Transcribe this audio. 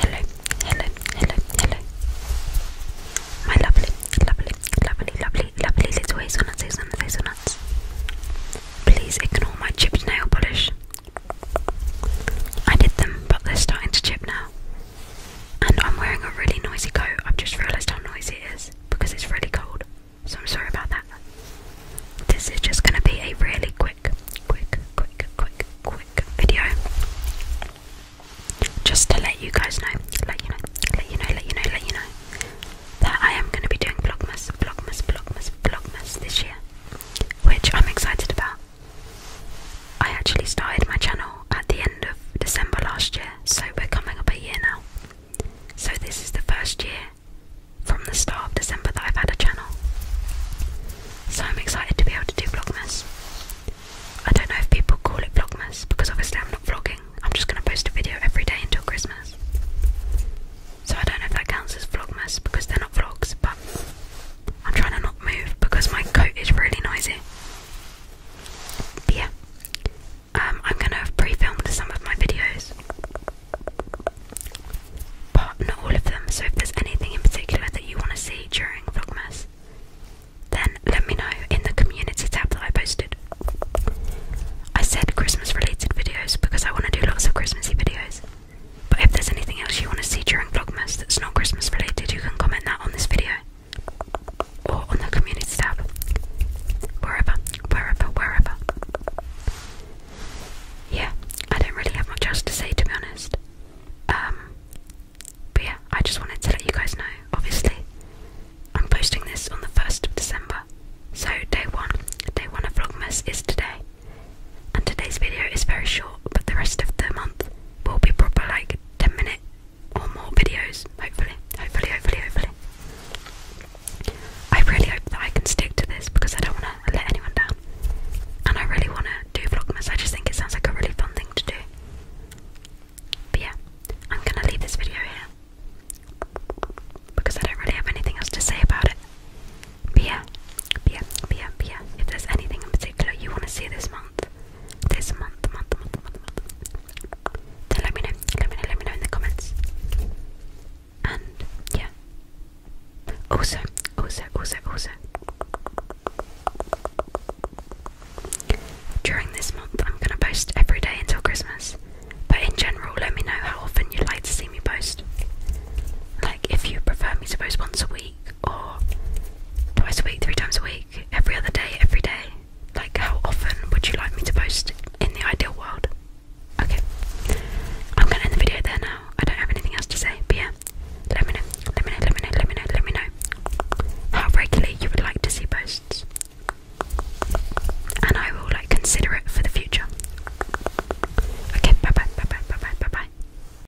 Hello, hello, hello, hello. My lovely, lovely, lovely, lovely, lovely little hazelnuts, hazelnuts, hazelnuts. Please ignore my chipped nail polish. I did them, but they're starting to chip now. And I'm wearing a really noisy coat. I've just realised how noisy it is because it's really cold. So I'm sorry about that this is just going to be a really quick, quick, quick, quick, quick video. Just to let you guys know, let you know, let you know, let you know, let you know that I am going to be doing Vlogmas, Vlogmas, Vlogmas, Vlogmas this year, which I'm excited about. I actually started my channel at the end of December last year, so we're coming up a year now. So, this is the first year from the start of December that I've had a channel. So I'm excited to be able to do Vlogmas. I don't know if people call it Vlogmas because obviously I'm not vlogging, I'm just going to post a video every day until Christmas. So I don't know if that counts as Vlogmas because they're not vlogs, but I'm trying to not move because my coat is really noisy. But yeah, um, I'm going to have pre-filmed some of my videos, but not all of them. So if there's anything in particular that you want to see during Vlogmas, then let me know in the community tab that I posted. I said Christmas-related videos because I want to do lots of Christmassy videos. But if there's anything else you want to see during Vlogmas that's not Christmas related, you can comment that on this video or on the communities tab, wherever, wherever, wherever. Yeah, I don't really have much else to say to be honest. Um, but yeah, I just wanted to let you guys know. Obviously, I'm posting this on the first of December, so day one, day one of Vlogmas is today, and today's video is very short, but the rest of the month will be proper like ten minutes or more videos, hopefully, hopefully, hopefully, hopefully. I really hope that I can stick to this because I don't want to let anyone down. And I really want to do Vlogmas, I just think it sounds like a really fun thing to do. But yeah, I'm going to leave this video here because I don't really have anything else to say about it. But yeah, but yeah, but yeah, If there's anything in particular you want to see this month, this month, month, month, month, month. let me know, let me know, let me know in the comments. And yeah. Also, also, also, also. During this month, I'm gonna post every day until Christmas. But in general, let me know how often you'd like to see me post. Like, if you prefer me to post once a week or twice a week, three times a week, every other day, every day? Like, how often would you like me to post in the ideal world? Okay, I'm gonna end the video there now. I don't have anything else to say, but yeah, let me know, let me know, let me know, let me know, let me know how regularly you would like to see posts, and I will like consider it for the future. Okay, bye bye, bye bye, bye bye, bye bye.